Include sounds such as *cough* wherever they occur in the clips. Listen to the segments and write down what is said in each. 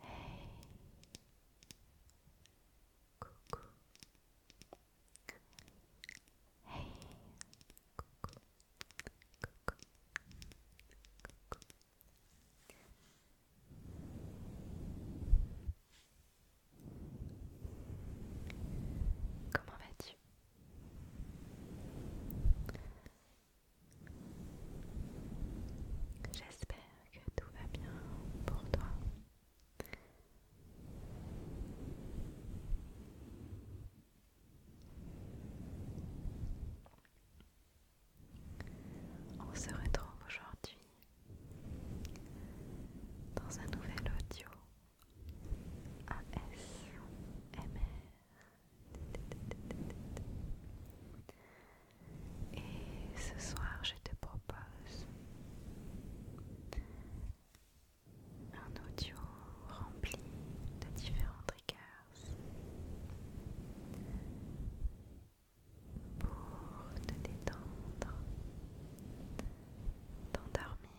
Hey. Coucou. Hey. Coucou. Coucou. Coucou. Comment vas-tu J'espère que tout va bien pour toi. On se retrouve aujourd'hui dans un nouvel audio ASMR. Et ce soir, je te propose un audio rempli de différents triggers pour te détendre, t'endormir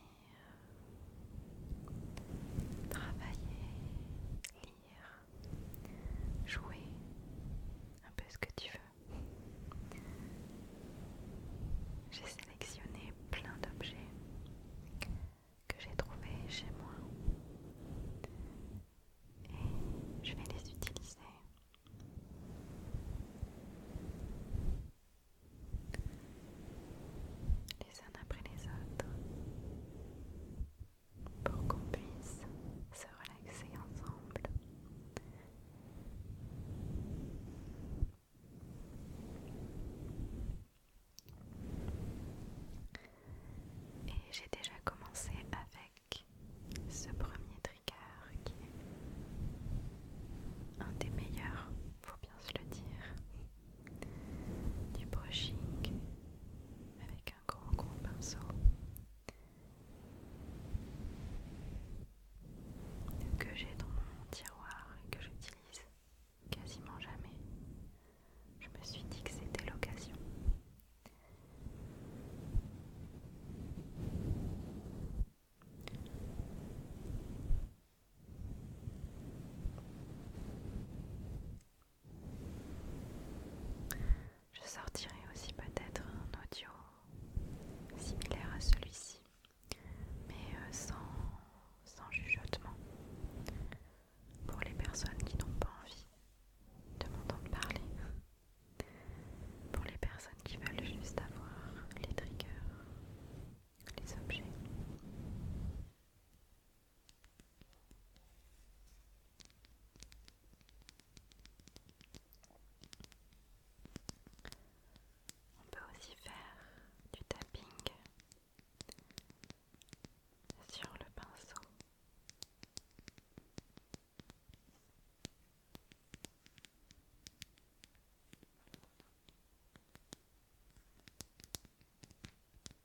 travailler, lire, jouer, un peu ce que tu veux. J'ai sélectionné plein d'objets que j'ai trouvés chez moi et je vais les utiliser les uns après les autres pour qu'on puisse se relaxer ensemble. Et j'ai déjà commencé avec ce premier trigger qui est un des meilleurs, faut bien se le dire du brushing avec un grand gros pinceau. Que j'ai dans mon tiroir et que j'utilise quasiment jamais, je me suis dit que c'était l'occasion. Je sortirai aussi peut-être un audio similaire à celui-ci, mais euh, sans, sans jugeotement, pour les personnes qui n'ont pas envie de m'entendre parler, pour les personnes qui veulent juste avoir les triggers, les objets. On peut aussi faire du tapping sur le pinceau.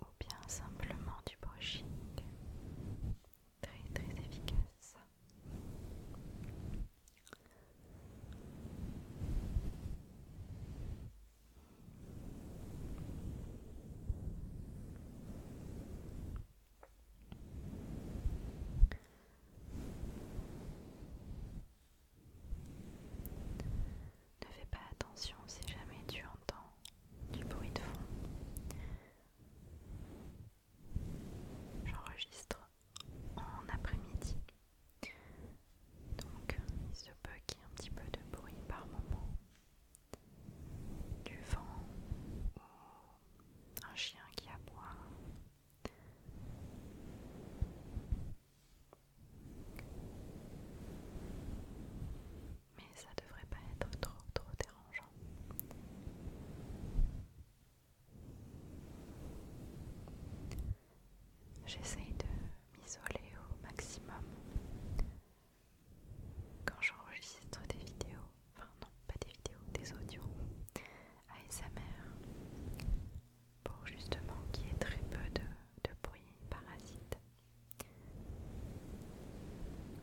ou bien simplement du brushing très très efficace. Ne fais pas attention si jamais tu entends du bruit de fond. J'enregistre en après-midi. Donc il se peut qu'il y ait un petit peu de bruit par moment. Du vent ou un chien qui aboie. Mais ça devrait pas être trop trop dérangeant. J'essaye de m'isoler au maximum quand j'enregistre des vidéos, enfin non, pas des vidéos, des audios ASMR pour justement qu'il y ait très peu de, de bruit parasite.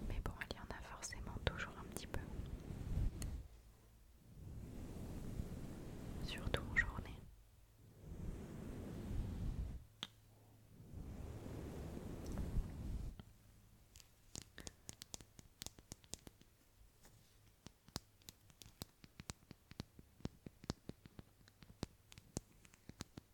Mais bon, il y en a forcément toujours un petit peu. Surtout en journée.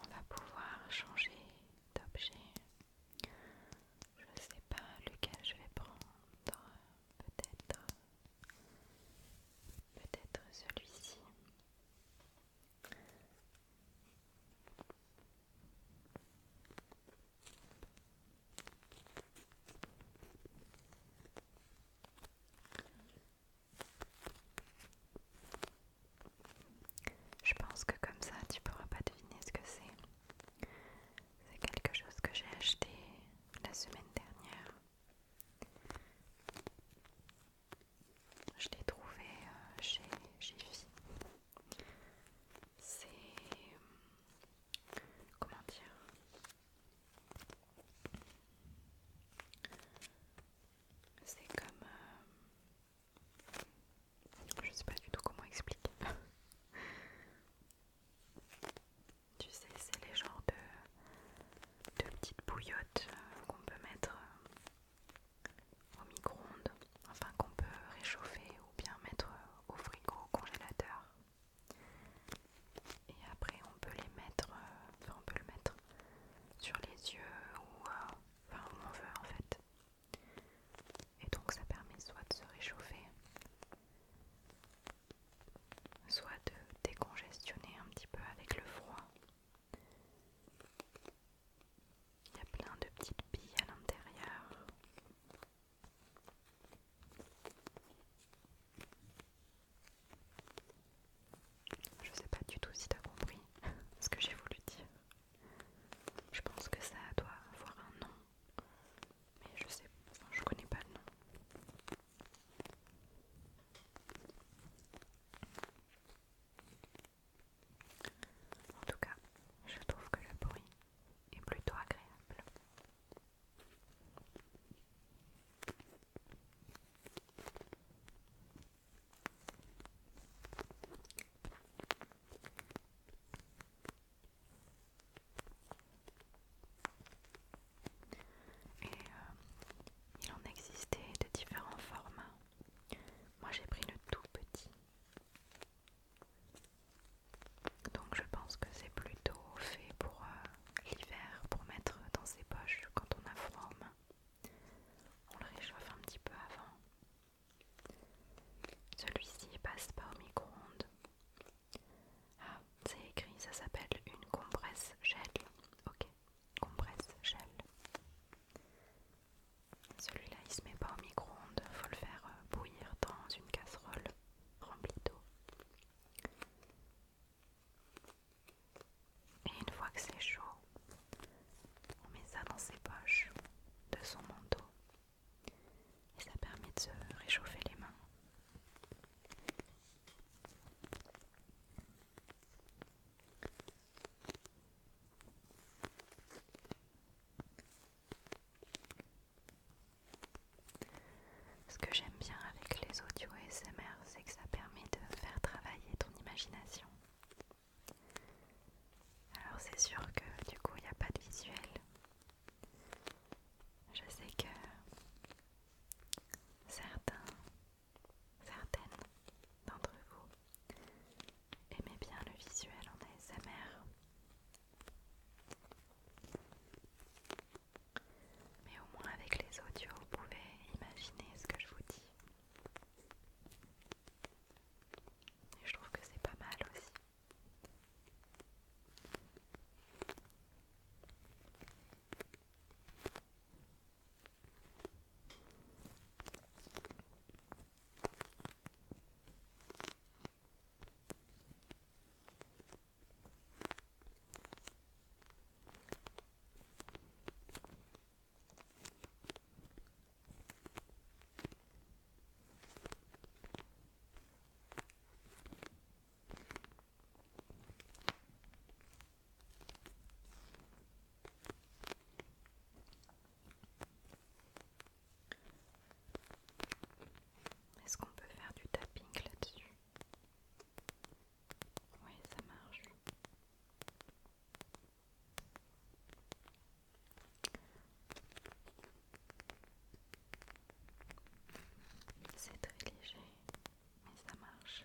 On va pouvoir changer d'objet. Je ne sais pas lequel je vais prendre. Peut-être. Peut-être celui-ci. Je pense que comme ça, tu pourras pas deviner ce que c'est. C'est quelque chose que j'ai acheté la semaine dernière. Je l'ai trouvé euh, chez Jiffy. C'est. Euh, comment dire C'est comme. Euh, je sais pas du tout comment expliquer. *laughs* tu sais, c'est les genres de, petites bouillottes euh, qu'on peut mettre euh, au micro-ondes, enfin qu'on peut réchauffer ou bien mettre euh, au frigo, au congélateur. Et après, on peut les mettre, enfin, on peut le mettre sur les yeux ou Enfin, on veut en fait. Et donc ça permet soit de se réchauffer, soit de décongestionner un petit peu avec le froid. Il y a plein de petites billes à l'intérieur. Je sais pas du tout si tu as compris *laughs* ce que j'ai voulu dire. Je pense que ça doit avoir un nom, mais je sais, pas, je connais pas le nom. En tout cas, je trouve que le bruit est plutôt agréable. Et euh, il en existait de différents formats. Moi j'ai pris le tout petit. Donc je pense que c'est plutôt fait pour euh, l'hiver, pour mettre dans ses poches quand on a froid on le réchauffe un petit peu avant. Celui-ci passe pas au micro-ondes. Ah, c'est écrit, ça s'appelle une compresse gel. Ok, compresse gel. Celui-là, il se met pas au micro-ondes, faut le faire euh, bouillir dans une casserole remplie d'eau. Et une fois que c'est chaud, on met ça dans ses poches de son manteau. Et ça permet de se réchauffer les mains. Ce que j'aime bien avec les audio SMR, c'est que ça permet de faire travailler ton imagination. Alors c'est sûr que du coup il n'y a pas de visuel. Je sais que certains, certaines d'entre vous aimaient bien le visuel en ASMR. Mais au moins avec les audios, vous pouvez imaginer ce que je vous dis je trouve que c'est pas mal aussi. Est-ce qu'on peut faire du tapping là-dessus Oui, ça marche. C'est très léger, mais ça marche.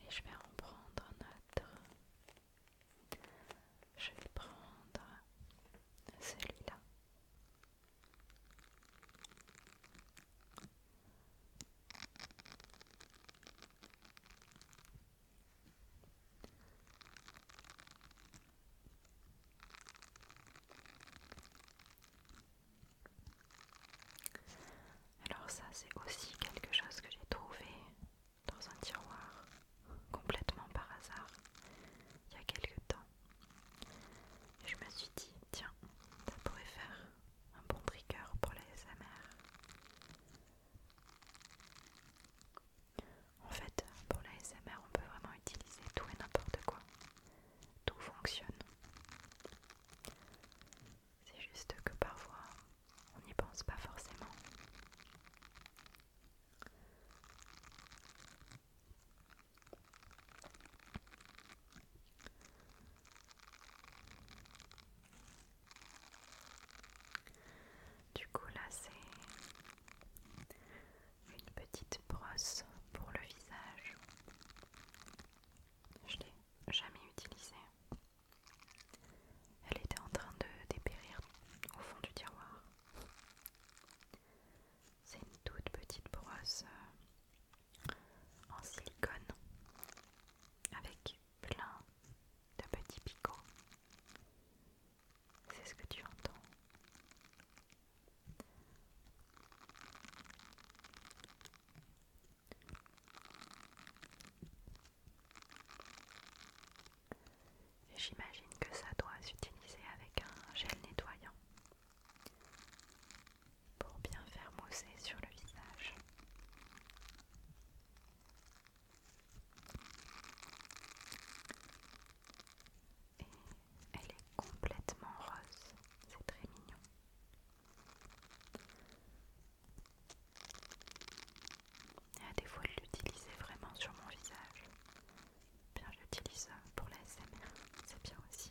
Et je vais en prendre un autre. Je vais prendre celui-là. Alors ça c'est aussi quelque chose que j'ai trouvé dans un tiroir, complètement par hasard, il y a quelque temps. Et je me suis dit, tiens, ça pourrait faire un bon trigger pour la SMR. En fait, pour la SMR, on peut vraiment utiliser tout et n'importe quoi. Tout fonctionne. C'est juste que parfois, on n'y pense pas forcément. Du coup là c'est une petite brosse pour le visage. Je l'ai jamais utilisée. Elle était en train de dépérir au fond du tiroir. C'est une toute petite brosse euh, en silicone avec plein de petits picots. C'est ce que tu entends. J'imagine que ça doit s'utiliser avec un gel nettoyant pour bien faire mousser sur le visage. Et elle est complètement rose, c'est très mignon des fois de l'utiliser vraiment sur mon visage, bien j'utilise pour la SMR, c'est bien aussi.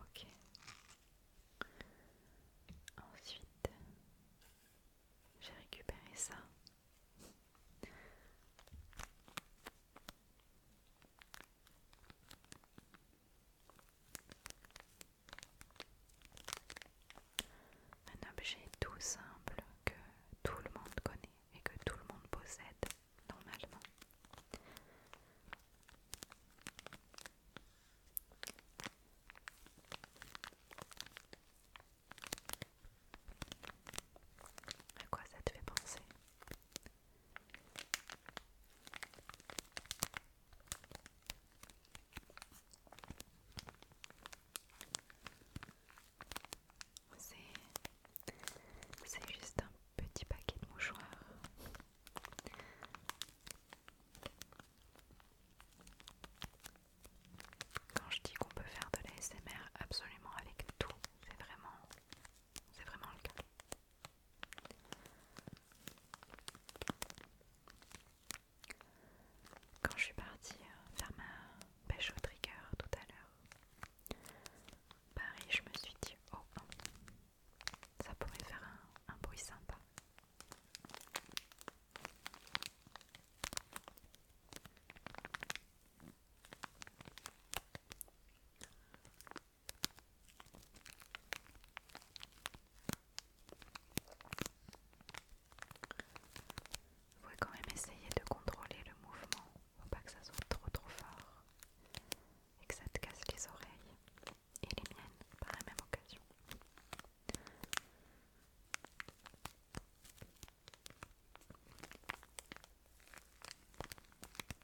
Ok. Ensuite, j'ai récupéré ça. Un objet tout simple que tout le monde connaît et que tout le monde possède normalement. À quoi ça te fait penser c'est juste un petit paquet de mouchoirs. Quand je dis qu'on peut faire de l'ASMR absolument avec tout, c'est vraiment c'est vraiment le cas. Quand je suis partie euh, faire ma pêche au trigger tout à l'heure, pareil, je me suis dit oh, oh, ça pourrait faire un, un bruit sympa. Vous pouvez quand même essayer de contrôler le mouvement, faut pas que ça soit trop trop fort et que ça te casse les oreilles et les miennes par la même occasion.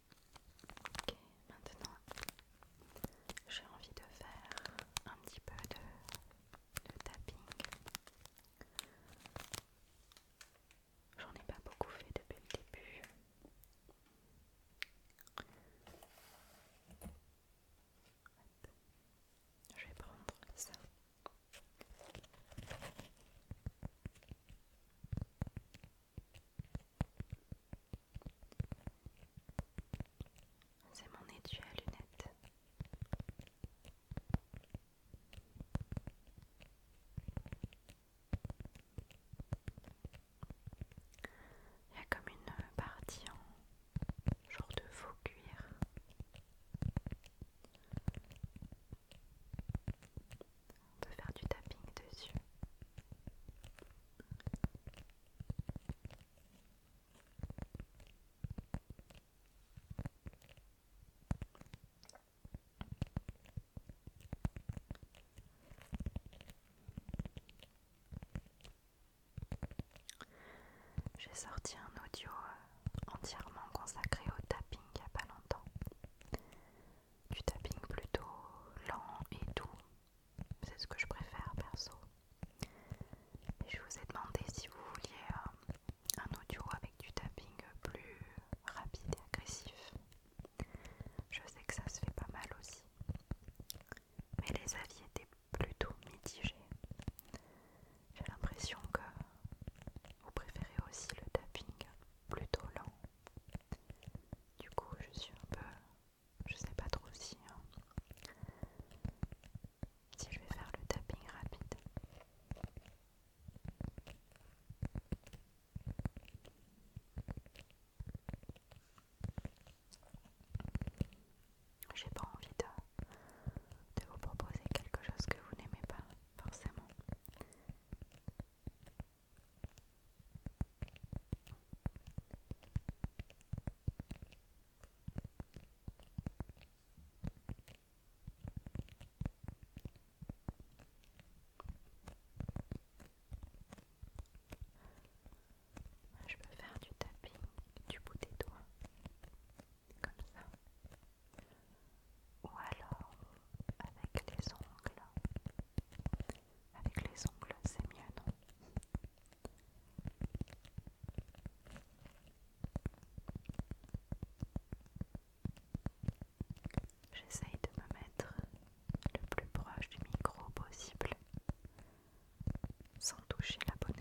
Ok, maintenant j'ai envie de faire un petit peu de, de tapping. J'en ai pas beaucoup fait depuis le début. Je vais prendre ça. C'est mon étui à lunettes. Il y a comme une partie en genre de faux cuir on peut faire du tapping dessus. J'ai sorti un audio euh, entièrement consacré au tapping il n'y a pas longtemps du tapping plutôt lent et doux. C'est ce que je préfère perso. je vous ai demandé si vous vouliez euh, un audio avec du tapping plus rapide et agressif. Je sais que ça se fait pas mal aussi. Mais les avis étaient plutôt mitigés. J'ai l'impression que vous préférez aussi le tapping plutôt lent. Du coup, je suis un peu. Je sais pas trop si. Hein, si je vais faire le tapping rapide. J'ai pas envie de vous proposer quelque chose que vous n'aimez pas forcément. Je peux faire du tapping du bout des doigts, comme ça ou alors avec les ongles. Avec les ongles, c'est mieux, non J'essaye de me mettre le plus proche du micro possible sans toucher la bonnette.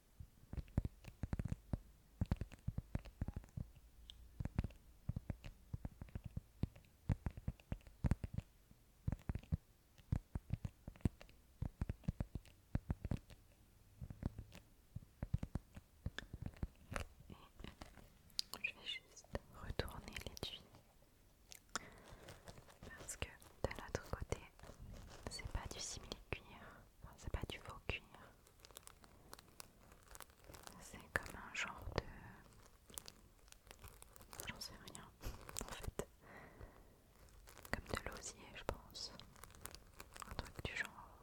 Je vais juste retourner l'étui parce que de l'autre côté, c'est pas du simili cuir, c'est pas du faux cuir, c'est comme un genre de... J'en sais rien, en fait. Comme de l'osier, je pense. Un truc du genre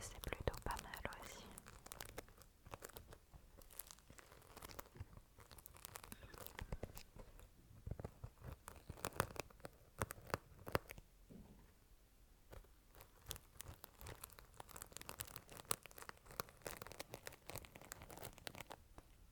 c'est plutôt pas mal aussi.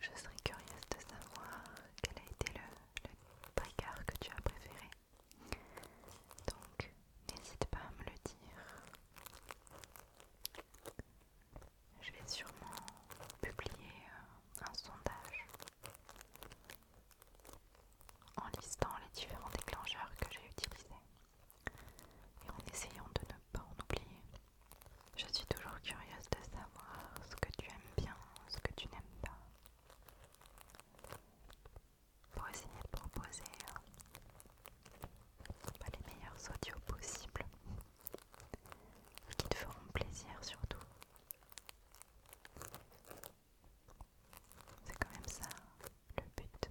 Je serais curieuse de savoir quel a été le, bricard que tu as préféré. Donc, n'hésite pas à me le dire. Je vais sûrement publier euh, un sondage en listant les différents déclencheurs que j'ai utilisés et en essayant de ne pas en oublier. Je suis toujours curieuse de savoir ce que tu aimes bien, ce que tu n'aimes pas pour essayer de proposer euh, les meilleurs audios possibles qui te feront plaisir surtout. C'est quand même ça le but.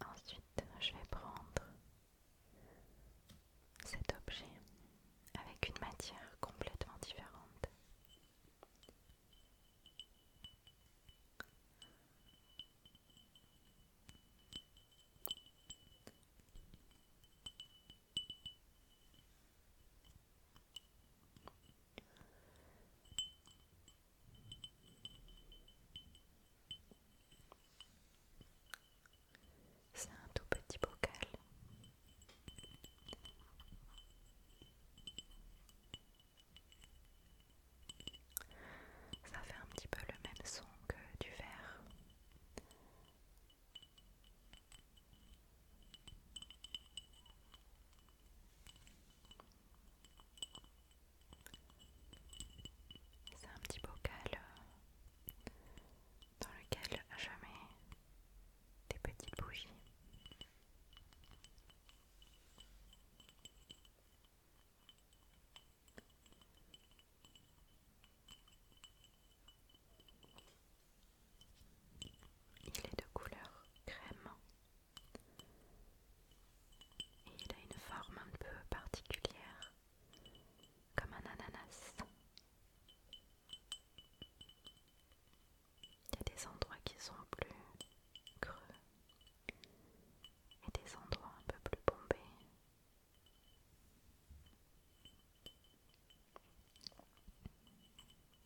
Ensuite, je vais prendre cet objet avec une matière complètement différente. C'est un tout petit bocal. Ça fait un petit peu le même son que du verre. C'est un petit bocal euh, dans lequel je mets des petites bougies. Il est de couleur crème et il a une forme un peu particulière, comme un ananas. Il y a des endroits qui sont plus creux et des endroits un peu plus bombés.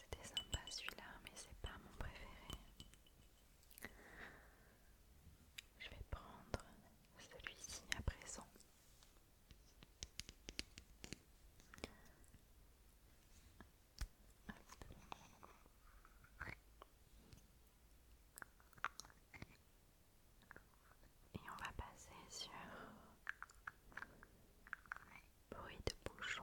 C'était sympa celui-là, mais c'est pas mon préféré. Je vais prendre celui-ci à présent. Et on va passer sur bruit de bouchon.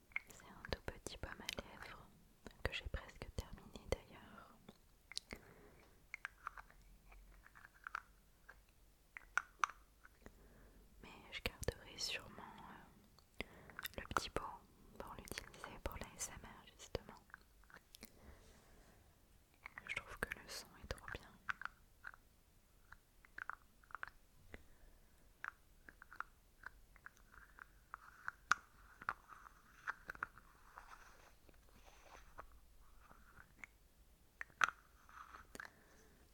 C'est un tout petit pomme à lèvres que j'ai presque terminé d'ailleurs. Mais je garderai sûrement euh, le petit pot pour l'utiliser pour l'ASMR justement. Je trouve que le son est trop bien.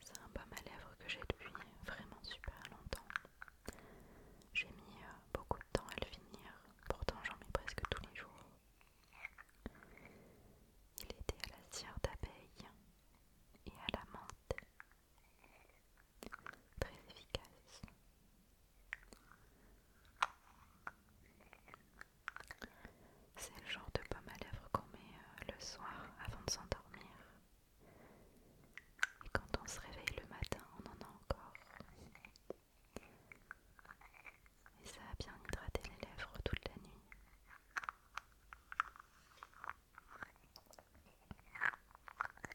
C'est un baume à lèvres que j'ai depuis vraiment super longtemps. J'ai mis euh, beaucoup de temps à le finir, pourtant j'en mets presque tous les jours. Il était à la cire d'abeille et à la menthe très efficace. C'est le genre de pomme à lèvres qu'on met euh, le soir avant de s'endormir. Et quand on se réveille le matin, on en a encore. Et ça a bien hydraté les lèvres toute la nuit.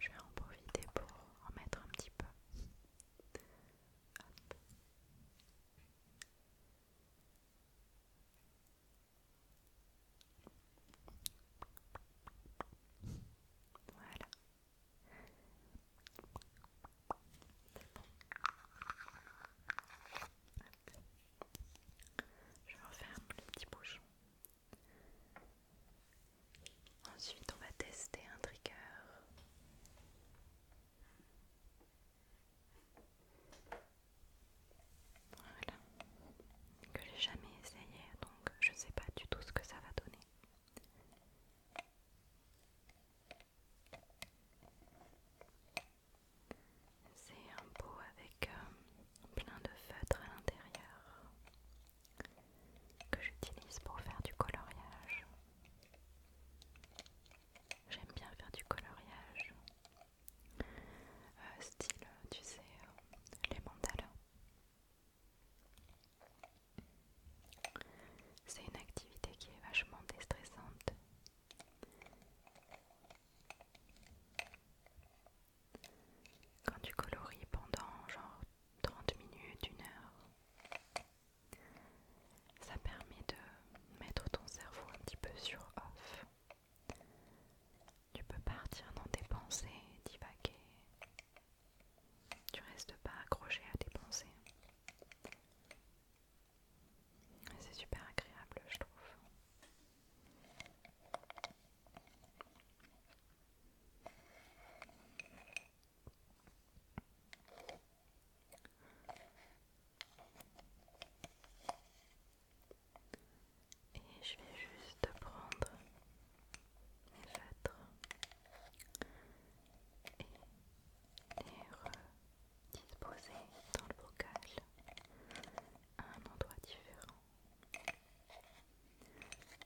Je vais en profiter pour en mettre un petit peu. Hop. Voilà. Je referme un petit bouchon Ensuite, on va tester un trigger. Voilà. Que j'ai jamais essayé, donc je ne sais pas du tout ce que ça va donner. C'est un pot avec euh, plein de feutres à l'intérieur que j'utilise pour faire du coloriage. J'aime bien faire du coloriage. Euh, style, tu sais, euh, les mandalas. C'est une activité qui est vachement déstressante. Quand tu coloris pendant genre 30 minutes, une heure, ça permet de mettre ton cerveau un petit peu sur off. Tu peux partir dans tes pensées, divaguer. Tu restes pas accroché à tes pensées. C'est super agréable, je trouve. Et je vais juste prendre mes lettres et les redisposer dans le bocal à un endroit différent.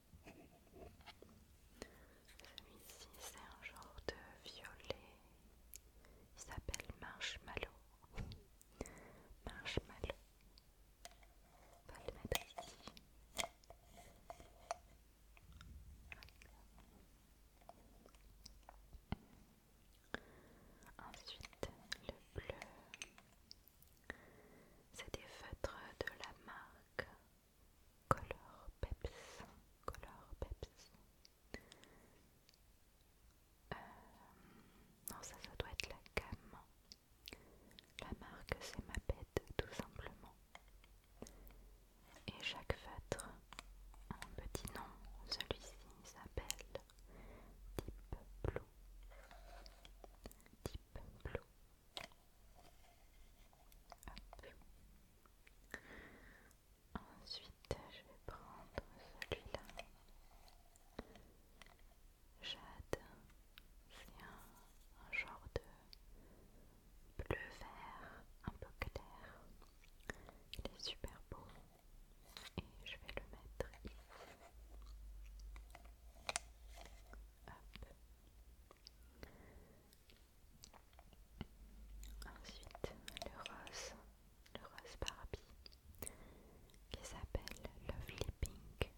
Celui-ci, c'est un genre de violet. Il s'appelle Marshmallow. Marshmallow. On va le mettre ici. Ensuite, le bleu. C'est des feutres de la marque Color Pepsi, Color Pepsi. Euh, non, ça, ça doit être la gamme. La marque, c'est ma bête, tout simplement. Et chaque feutre a un petit nom. Celui-ci s'appelle Deep Blue. Deep Blue. Ensuite, je vais prendre celui-là. Jade, c'est un, genre de bleu vert un peu clair. Il est super beau et je vais le mettre ici. Ensuite, le rose, le rose Barbie, qui s'appelle Lovely Pink.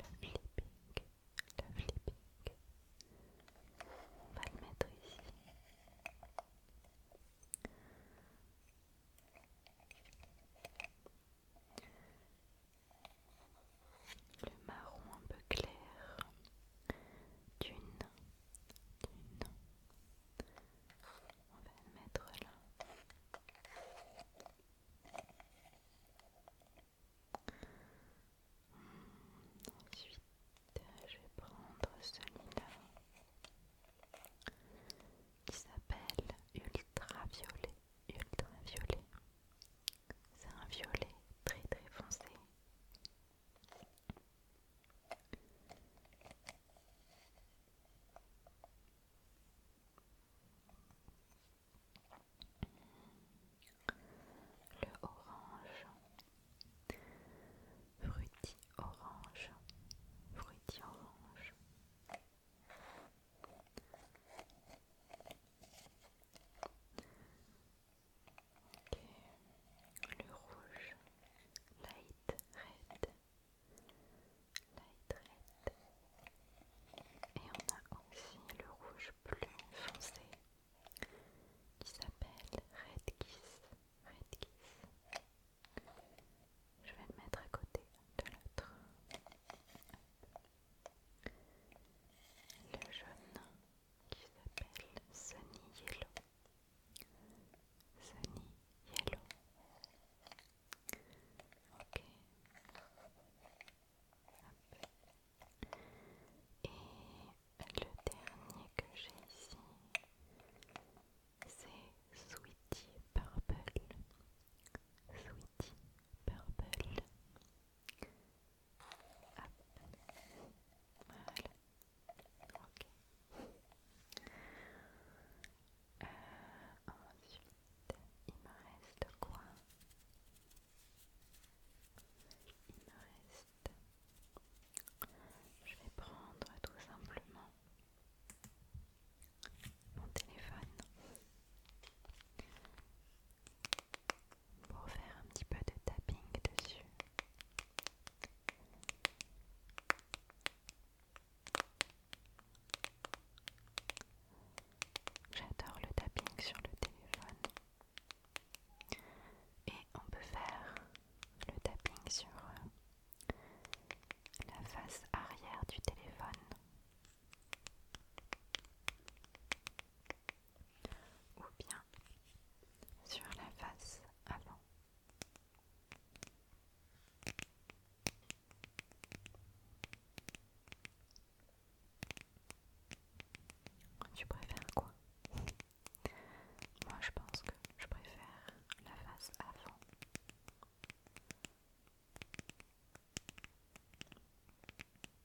Lovely Pink, Lovely Pink. On va le mettre ici le marron un peu clair d'une, d'une. On va le mettre là. Ensuite, je vais prendre celui-là qui s'appelle ultraviolet, ultraviolet. C'est un violet très très foncé. Le orange, fruiti orange, fruiti orange le rouge, light red, light red, et on a aussi le rouge plus foncé qui s'appelle Red Kiss, Red Kiss. Je vais le mettre à côté de l'autre. Le jaune, qui s'appelle Sunny Yellow. Sunny Yellow. Ok. Et le dernier que j'ai ici, c'est Sweetie Purple. Sweetie Purple ensuite, il me reste quoi Il me reste... Je vais prendre tout simplement mon téléphone pour faire un petit peu de tapping dessus. J'adore le tapping sur le téléphone. Et on peut faire le tapping sur euh, la face arrière du téléphone ou bien sur la face avant. Tu préfères quoi Moi je pense que je préfère la face avant.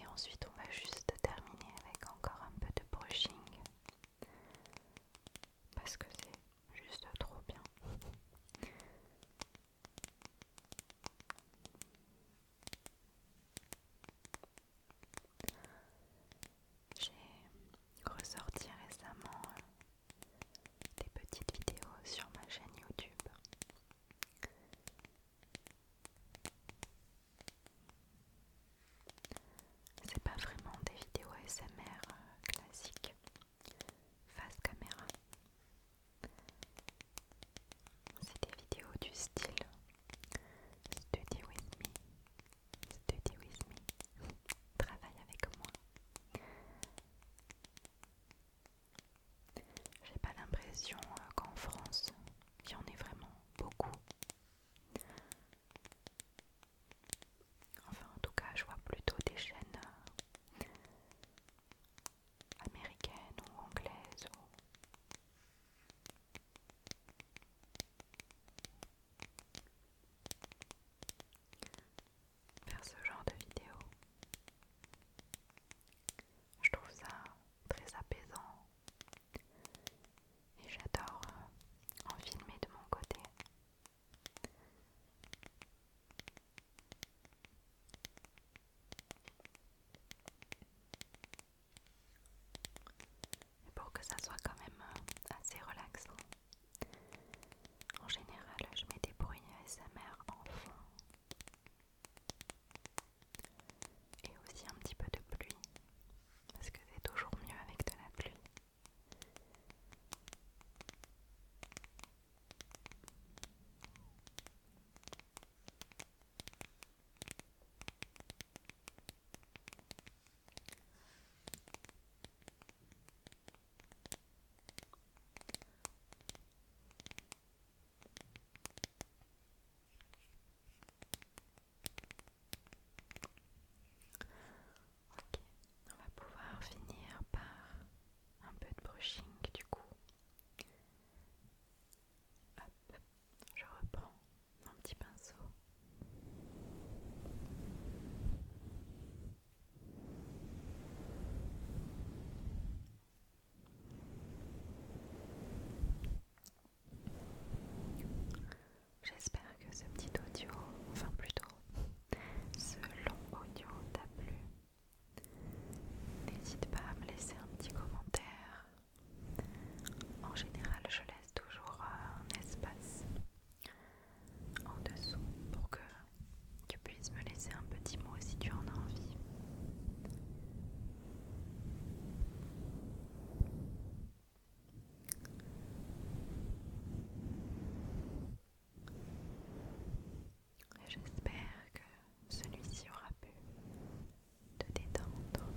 Et ensuite, on va juste terminer avec encore un peu de brushing parce que c'est juste trop bien. J'ai ressorti récemment euh, des petites vidéos sur ma chaîne YouTube. C'est pas vraiment des vidéos SMR euh, classiques face caméra, c'est des vidéos du style Study with me, study with me, *laughs* travaille avec moi. J'ai pas l'impression euh, qu'en France, il y en ait vraiment beaucoup. Enfin, en tout cas, je vois plutôt des chaînes euh, américaine ou anglaise ou... Faire ce genre de vidéo, je trouve ça très apaisant et j'adore euh, en filmer de mon côté. Et pour que ça soit quand même euh, assez relaxant, en général je mets des bruits ASMR en fond et aussi un petit peu de pluie parce que c'est toujours mieux avec de la pluie on va pouvoir finir par un peu de brushing du coup je reprends mon petit pinceau. J'espère que ce petit audio, enfin plutôt ce long audio t'a plu. N'hésite pas à me laisser un petit commentaire. En général, je laisse toujours un espace en dessous pour que tu puisses me laisser un petit mot si tu en as envie. J'espère que celui-ci aura pu te détendre.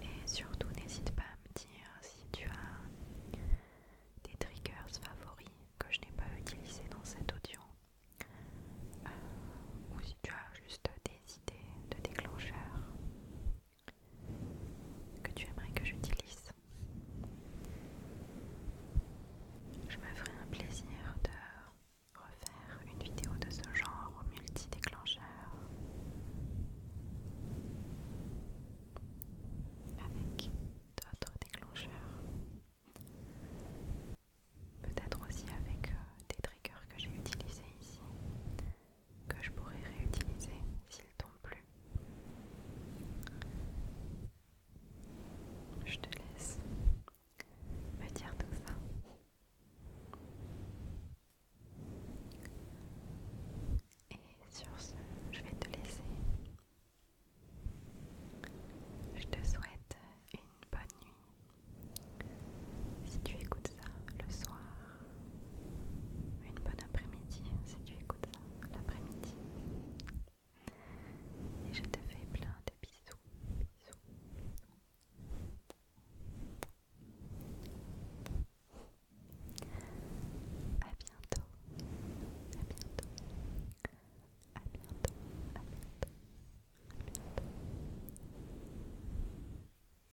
Et surtout, n'hésite pas à me dire si tu as des triggers favoris que je n'ai pas utilisés dans cet audio, euh, ou si tu as juste des idées de déclencheurs que tu aimerais que j'utilise. Je me ferai un plaisir de refaire une vidéo de ce genre multi-déclencheur avec d'autres déclencheurs. Peut-être aussi avec euh, des triggers que j'ai utilisés ici que je pourrais réutiliser s'il tombe plus. Je te laisse me dire tout ça. Et sur ce, je vais te laisser. Je te souhaite une bonne nuit. Si tu écoutes ça le soir, une bonne après-midi si tu écoutes ça l'après-midi. Et je te fais plein de bisous. bisous. A bientôt. A bientôt. À bientôt. À bientôt. À bientôt.